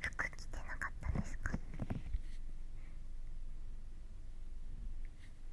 服着てなかったですか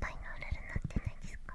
パイのオレルなってないですか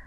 雨で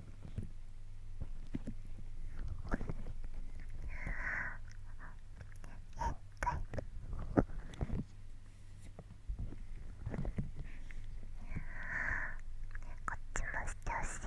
っっこちもしてほしい。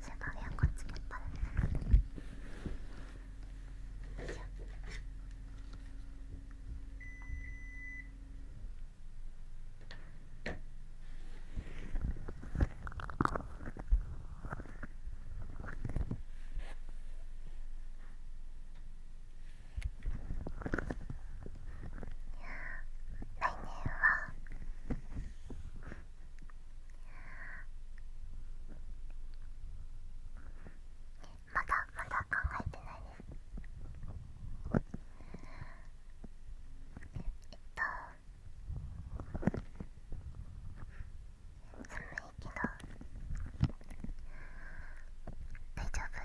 セバリはこっちもらよいしょいやまだまだ考えてないですえっと寒いけど大丈夫で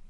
す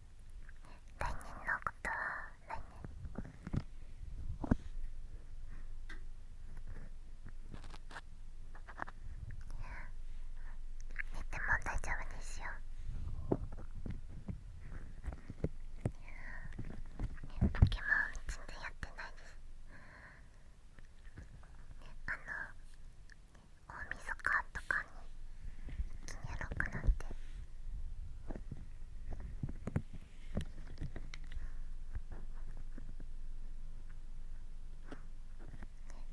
来年のことは来年寝ても大丈夫にしようねポケモン全然やってないですねあのお大かんとかにきにやろくなって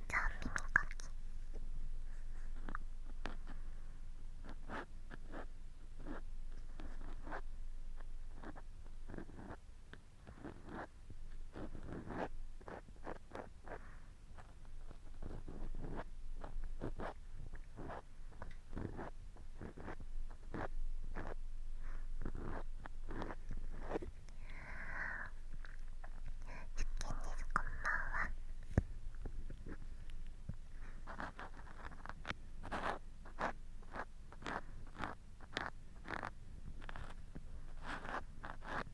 じゃあ耳かき耳かきんは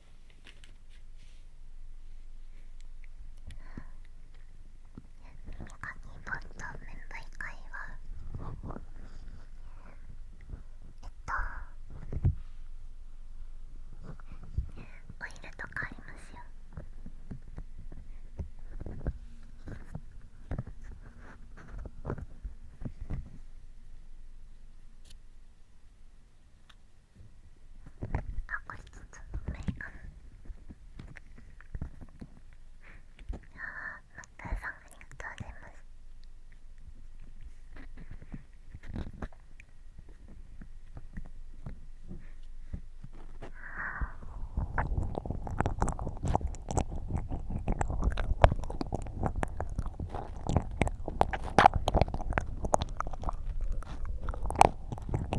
本と面部以外はえっとオイルとかありますよああこれつ、ょっといかあーマーさんありがとうございますあ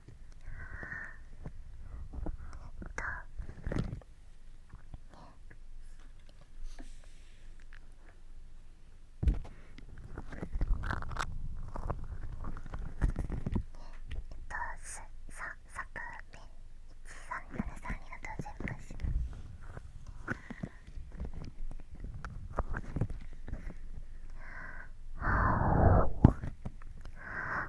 えっとえっと、すささくペン1373ありがとうございます。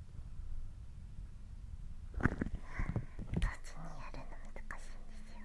ちにやるの難しいんですよ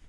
これで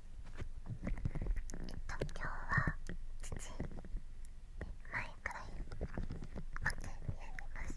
えっと、今日は父前くらいまであえます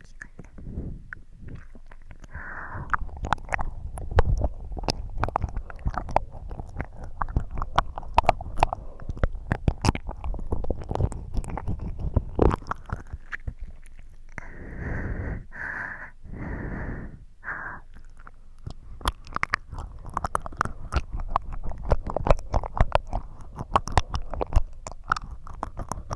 きかったあ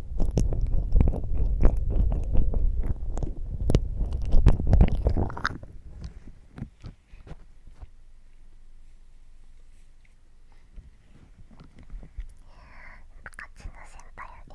あっちの先輩やで。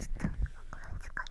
ちょっとこれですかね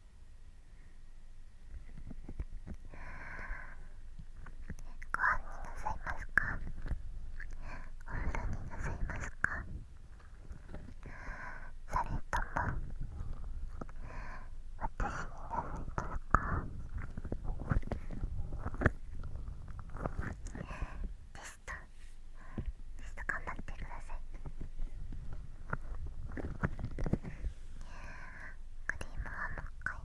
ご飯になさいますかお風呂になさいますかそれとも私になさいますかでしたちょっと頑張ってくださいクリームはもう一回こ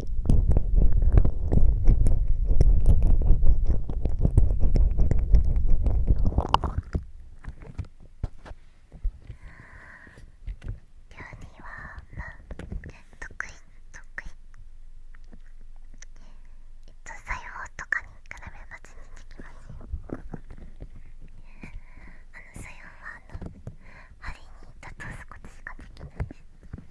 は、まあ、得意得意えっと裁縫とかに比べば全然できますよあの裁縫はあの針にだと少ししかできないです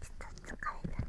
ちょっと疲い。た。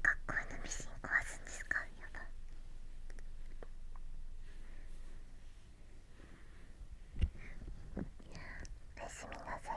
学校のミシン壊すんですかやばおやすみなさい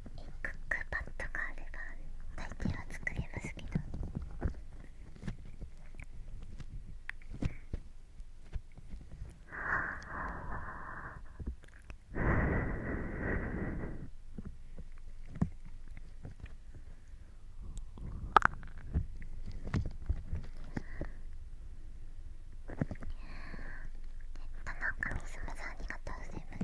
クックパッドがあれば大抵は作れますけどットの神様さんありがとうございます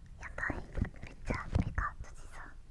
やばいめっちゃ目が閉じさ。う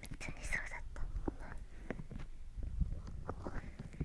普通にそうだった。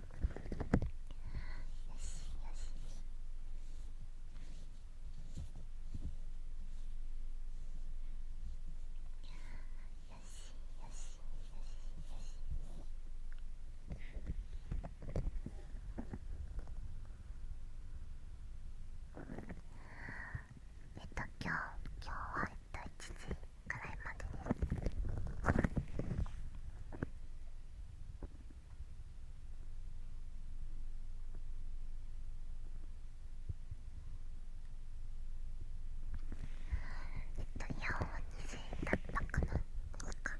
よしよしよしよしよしえっと今日今日はえっと1時くらいまでです。えっと、イヤホンは20円だったかな確か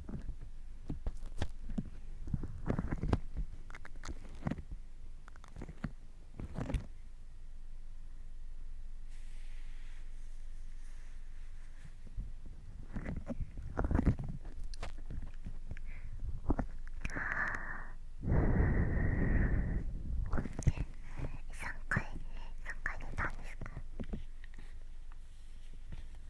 3回3回出たんですか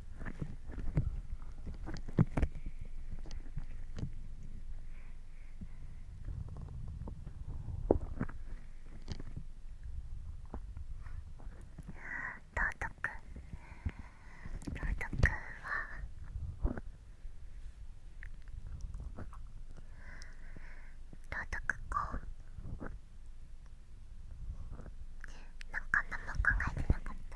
道徳道徳は道徳かなんか何も考えてなかった。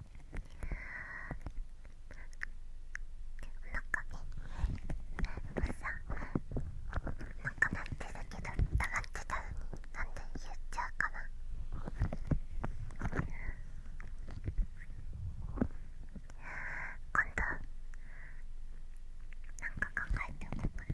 なんかねもうさなんかなってるけど黙ってたのになんで言っちゃうかな今度なんか考えておこうかな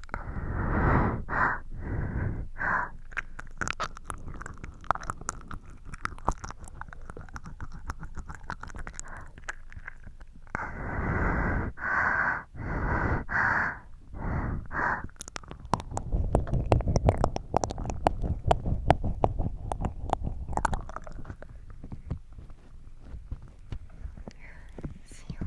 しよう。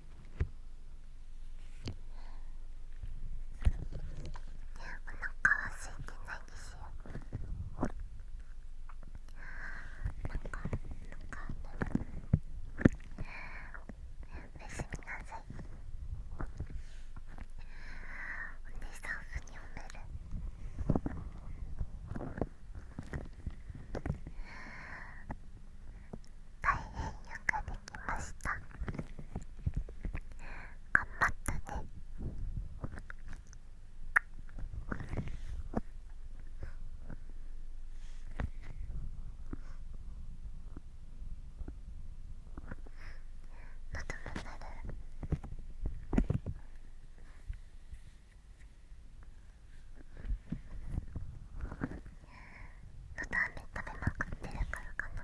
お腹は空いてないですよなんおなんかおやすみなさいお姉さんふに褒めるおおおおおお大変よくできました頑張ったねまともになる。のため食べまくってるからかなあ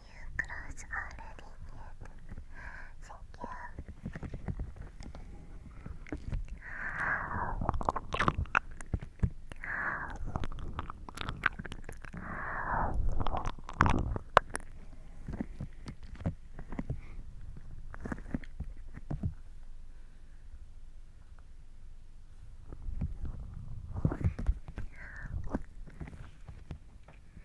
you, Cross, already Thank you.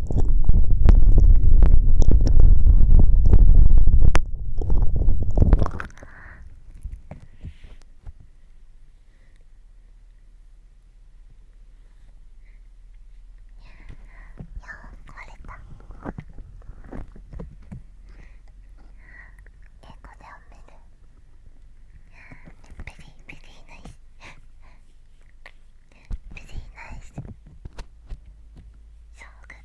Very, very nice. Very nice. So good.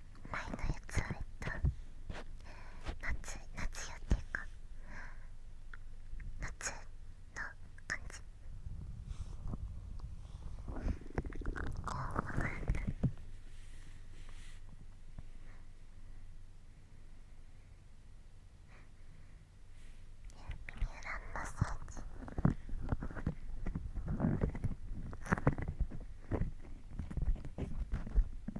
前のやつはえっと夏夏よっていうか夏の感じこう曲が耳裏マッサージ耳裏ッサージ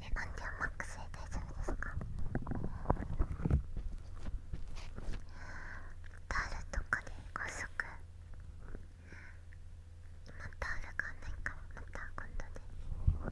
えアンディオンマックスで大丈夫ですかタオルとかで高速今タオルがないからまた今度であ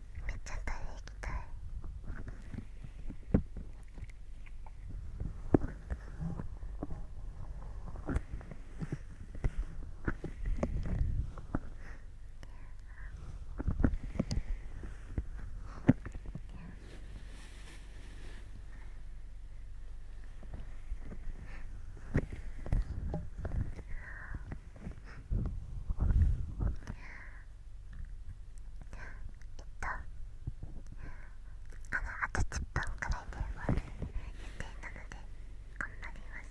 めっちゃ食べ行きたいっとあのあと10分くらいで終わる予定なので頑張ります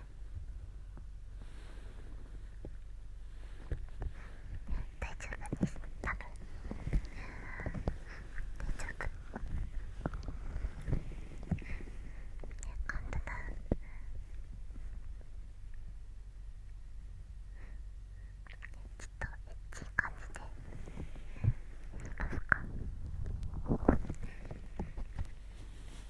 大丈夫です多分大丈夫ね、ウントダウンちょっとエッチい感じでいきまか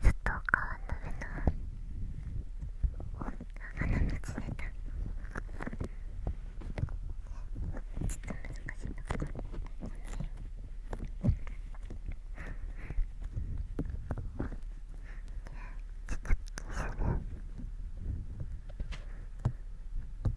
ずっと川の上の花の道出たちょっと難しいなちょっと気にする。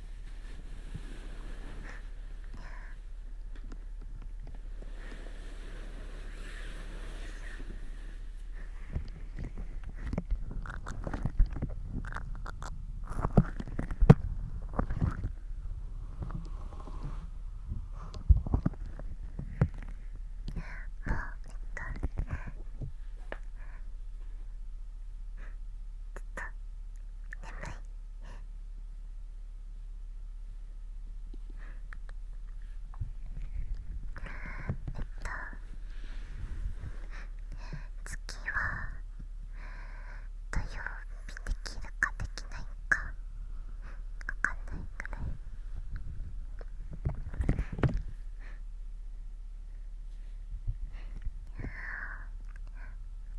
ずっと眠いえっと月は土曜日できるかできないかわかんないくらい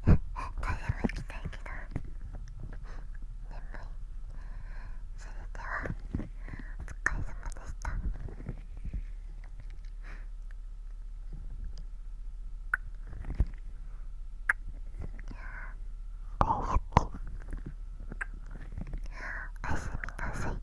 風も行きたいけど眠いそれではお疲れ様でしたお大好きおやすみなさい